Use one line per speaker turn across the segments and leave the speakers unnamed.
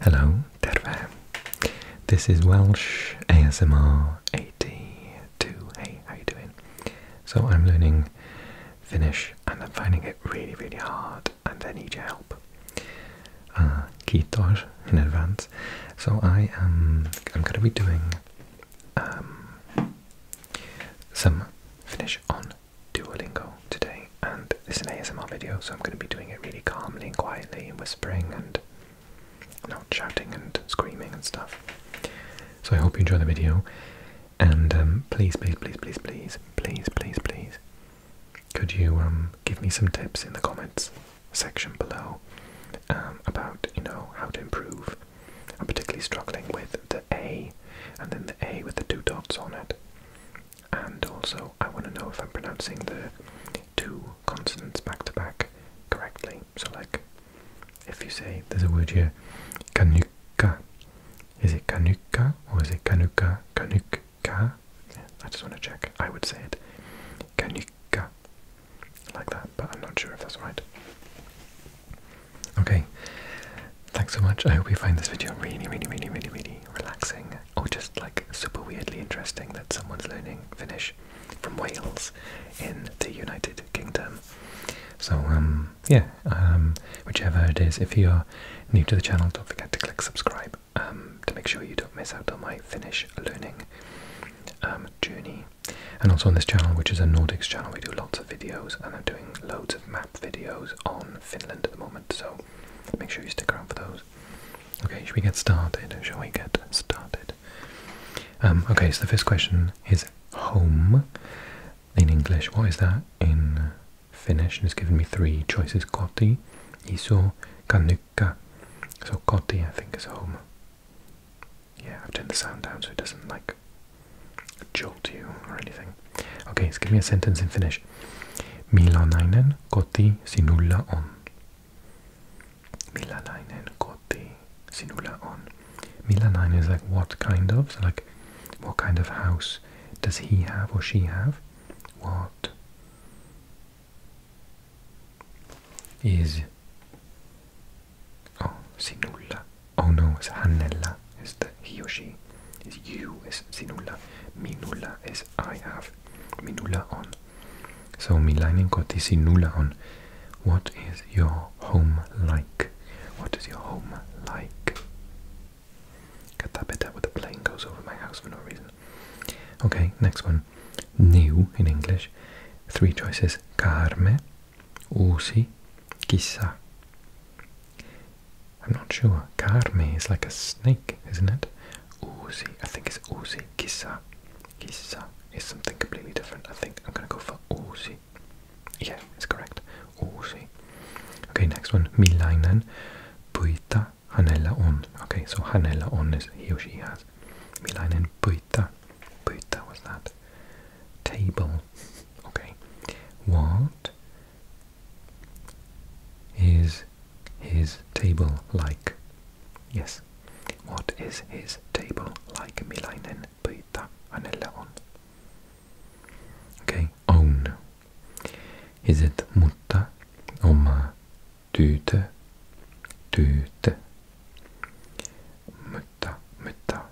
Hello, terve. This is Welsh ASMR 82. Hey, how you doing? So I'm learning Finnish and I'm finding it really, really hard and I need your help. Uh, kiitos in advance. So I am I'm going to be doing um, some Finnish on Duolingo today, and this is an ASMR video, so I'm going to be doing it really calmly and quietly, whispering and not shouting and screaming and stuff. So I hope you enjoy the video, and um, please, please, please, please, please, please, please, could you um, give me some tips in the comments section below um, about you know how to improve? I'm particularly struggling with the A, and then the A with the two dots on it and also I want to know if I'm pronouncing the two consonants back to back correctly. So, like, if you say there's a word here, kanuka, is it kanuka or is it kanuka? Kanuka? I just want to check. I would say it kanuka, like that, but I'm not sure if that's right. Okay, thanks so much. I hope you find this video really, really, really, really, really relaxing or oh, just like super weirdly interesting that someone's learning Finnish from Wales in the United Kingdom. So, um, yeah, um, whichever it is, if you're new to the channel, don't forget to click subscribe um, to make sure you don't miss out on my Finnish learning journey. And also on this channel, which is a Nordics channel, we do lots of videos, and I'm doing loads of map videos on Finland at the moment, so make sure you stick around for those. Okay, should we get started? Shall we get started? Um, okay, so the first question is home in English. What is that in Finnish? And it's given me three choices koti, iso, kanukka. So koti, I think, is home. Yeah, I've turned the sound down so it doesn't like jolt you or anything. Okay, just give me a sentence in Finnish. Millainen koti sinulla on. Millainen koti sinulla on. Millainen is like what kind of, like what kind of house does he have or she have? What is oh, sinulla Oh no, it's Hanella It's the he or you It's sinula. Minula It's I have. Minula on. So milainen koti sinula on. What is your home like? What is your home like? Get that bit where the plane goes over my house for no reason. Okay, next one. New in English. Three choices. Carme, Usi, Kissa. i I'm not sure. Carme is like a snake, isn't it? Uzi. I think it's Uzi. Kissa. Chissà is something completely different. I think I'm going to go for Uzi. Yeah, it's correct. Uzi. Okay, next one. Milainen puita hanella on. Okay, so hanella on is he or she has. Milainen puita but was that. Table. okay. What is his table like? Yes. What is his table like? Milainen pyytää hänelle on. Okay. Own. Is it mutta, oma, tyytö, tyytö? Mutta, mutta,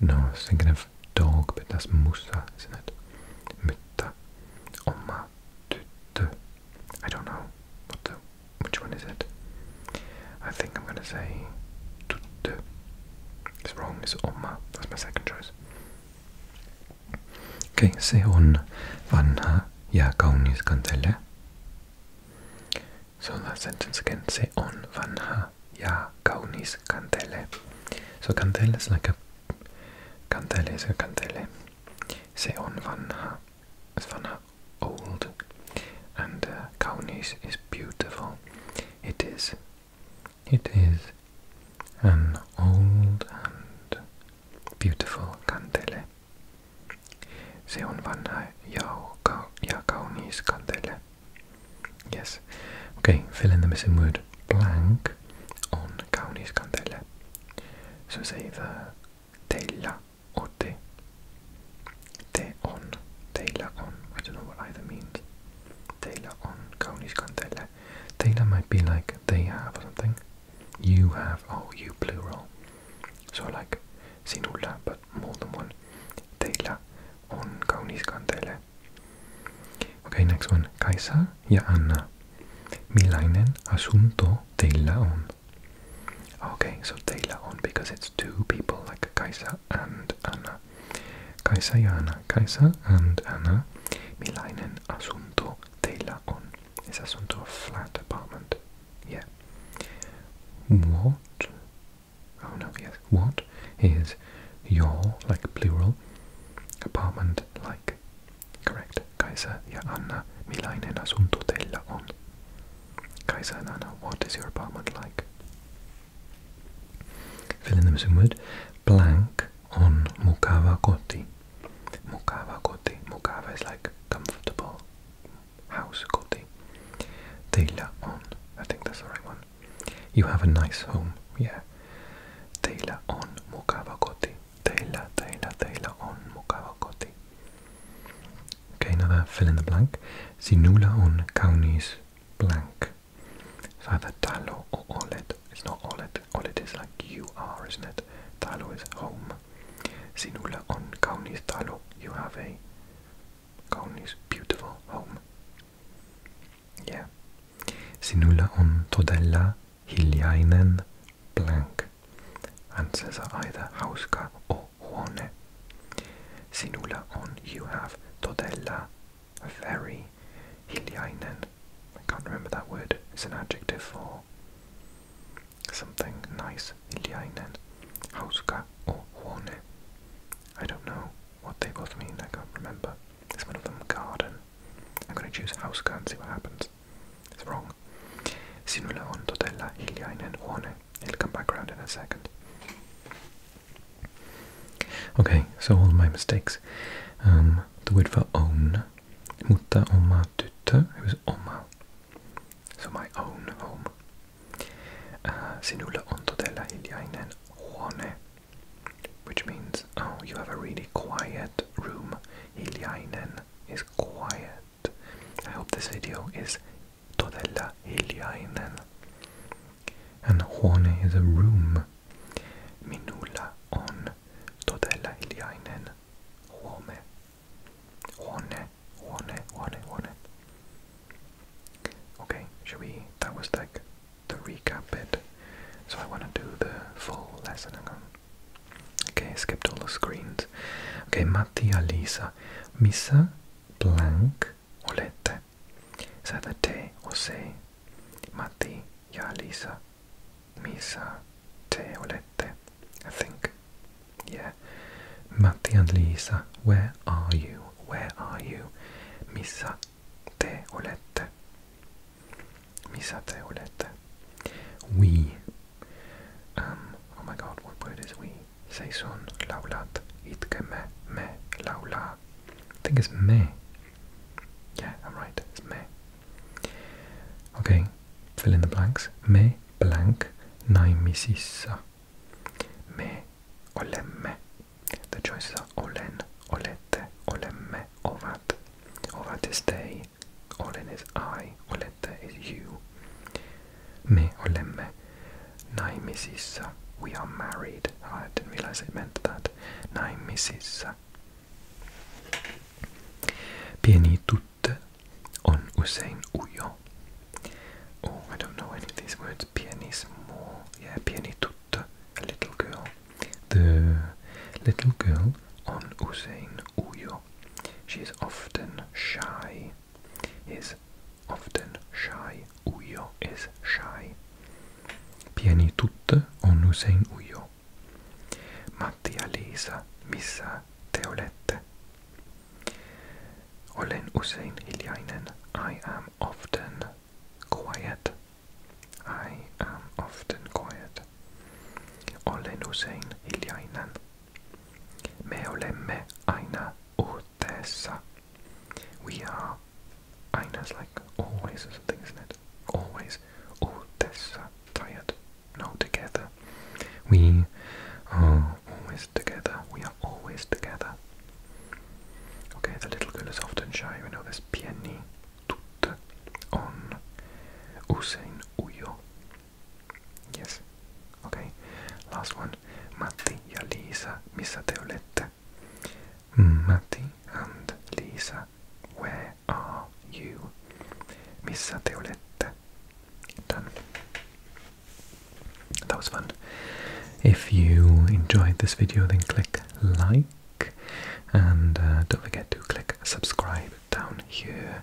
no, I was thinking of dog, but that's Musa, isn't it? Mutta, Oma, Tutu. I don't know what the, which one is it. I think I'm gonna say Tutu. It's wrong, it's Oma. That's my second choice. Okay, se on vanha ja kaunis so in that sentence again, say on vanha ja kaunis kantele. So kantele is like a cantele is a kantele. Say on vanha vanha old, and uh, kaunis is beautiful. It is, it is an old and beautiful kantele. Se on vanha ja kaunis kantele. Yes. Okay, fill in the missing word blank on kaunis kantele. So say the teillä or te. on, teillä on. I don't know what either means. Teillä on kaunis kantele. Teillä might be like they have or something. You have, oh, you plural. So like sinulla, but more than one. Teillä on kaunis kanteelle. Okay, next one. Kaisa ja Anna. Millainen asunto teillä on? Ah, okay, so teillä on because it's two people like Kaisa and Anna. Kaisa ja Anna. Kaisa and Anna. Milainen asunto teillä on? Is asunto a flat apartment? Yeah. What? Oh no, yes. What is your, like plural, apartment like? Correct. Kaiser, ja Anna, millainen asunto teillä on? Kaiser Anna, what is your apartment like? Fill in the missing word. Blank on mukava koti. Mukava koti. Mukava is like comfortable house called the Teila On. I think that's the right one. You have a nice home, yeah. Teila On mukava koti. Teila, teila, teila on mukava koti. Okay, another fill in the blank. Sinula on kaunis blank. So either talo or olet. It's not olet. Olet is like you are, isn't it? Talo is home. Sinulla on Kaunis Talo, you have a Kaunis beautiful home. Yeah. Sinulla on todella hiljainen blank. Answers are either hauska or huone. Sinulla on you have todella very hiljainen. I can't remember that word. It's an adjective for Something nice Iliainen Hauska or Horne. I don't know what they both mean, I can't remember. It's one of them garden. I'm gonna choose Hauska and see what happens. It's wrong. Sinulla on Totella Iliainen Horne. It'll come back around in a second. Okay, so all my mistakes. Um, the word for own mutta oma tyttö, who's oma, so my own home. Uh, äh, sinulla on todella hiljainen huone, which means, oh, you have a really quiet room. Hiljainen is quiet. I hope this video is todella hiljainen. And huone is a room. Minulla on todella hiljainen home, Okay, should we? That was like the recap bit. So I want to do the full lesson again. Okay, skipped all the screens. Okay, Mattia Lisa. Missa blank, olette. Is that a or say? Mattia Lisa. Misa Teolette, I think. Yeah. Matti and Lisa, where are you? Where are you? Missa Teolette. Missa Teolette. We. Um, oh my god, what word is we? Seison laulat itke me me laula. I think it's me. Yeah, I'm right. It's me. Okay, fill in the blanks. Me blank naimisissa. Me olemme. The choices are olen, olette, olemme, ovat. Ovat is they. Olen is I. Olette is you. Me olemme naimisissa. We are married. Ah, I didn't realize it meant that. Naimisissa. Pieni tutte on usein ujo. Oh, I don't know any of these words. Pianismo. Yeah, pieni tutte. A little girl. The little girl on usein ujo. She is often shy. Is often shy. Ujo is shy. Pieni tutte on usein ujo. sanoo. Matti ja Liisa, missä te olette? Olen usein hiljainen. I am often quiet. I am often quiet. Olen usein hiljainen. Me olemme aina uhteessa. We are I know it's like, always is a isn't it? Always. all oh, this tired. No, together. We are always together. We are always together. Okay, the little girl is often shy. We know this. Pieni, tutte, on, usein, ujo. Yes. Okay, last one. Matti ja Liisa, missä te Matti and Lisa, where are you? Missä te Done. That was fun. If you enjoyed this video, then click like and uh, don't forget to click subscribe down here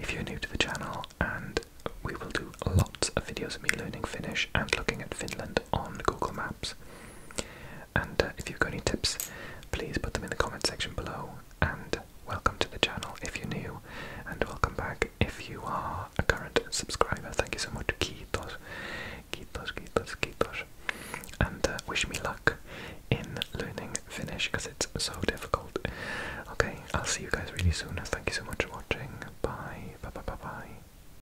if you're new to the channel. And we will do lots of videos of me learning Finnish and looking at Finland on Google Maps. And uh, if you've got any tips, please put them in the comment section below. And welcome to the channel if you're new, and welcome back if you are a current subscriber. Thank you so much. to Kiitos, kiitos, kiitos, kiitos. And uh, wish me luck in learning Finnish because it's so difficult. Okay, I'll see you guys really soon. Thank you so much for watching. Bye, bye, bye, bye, bye.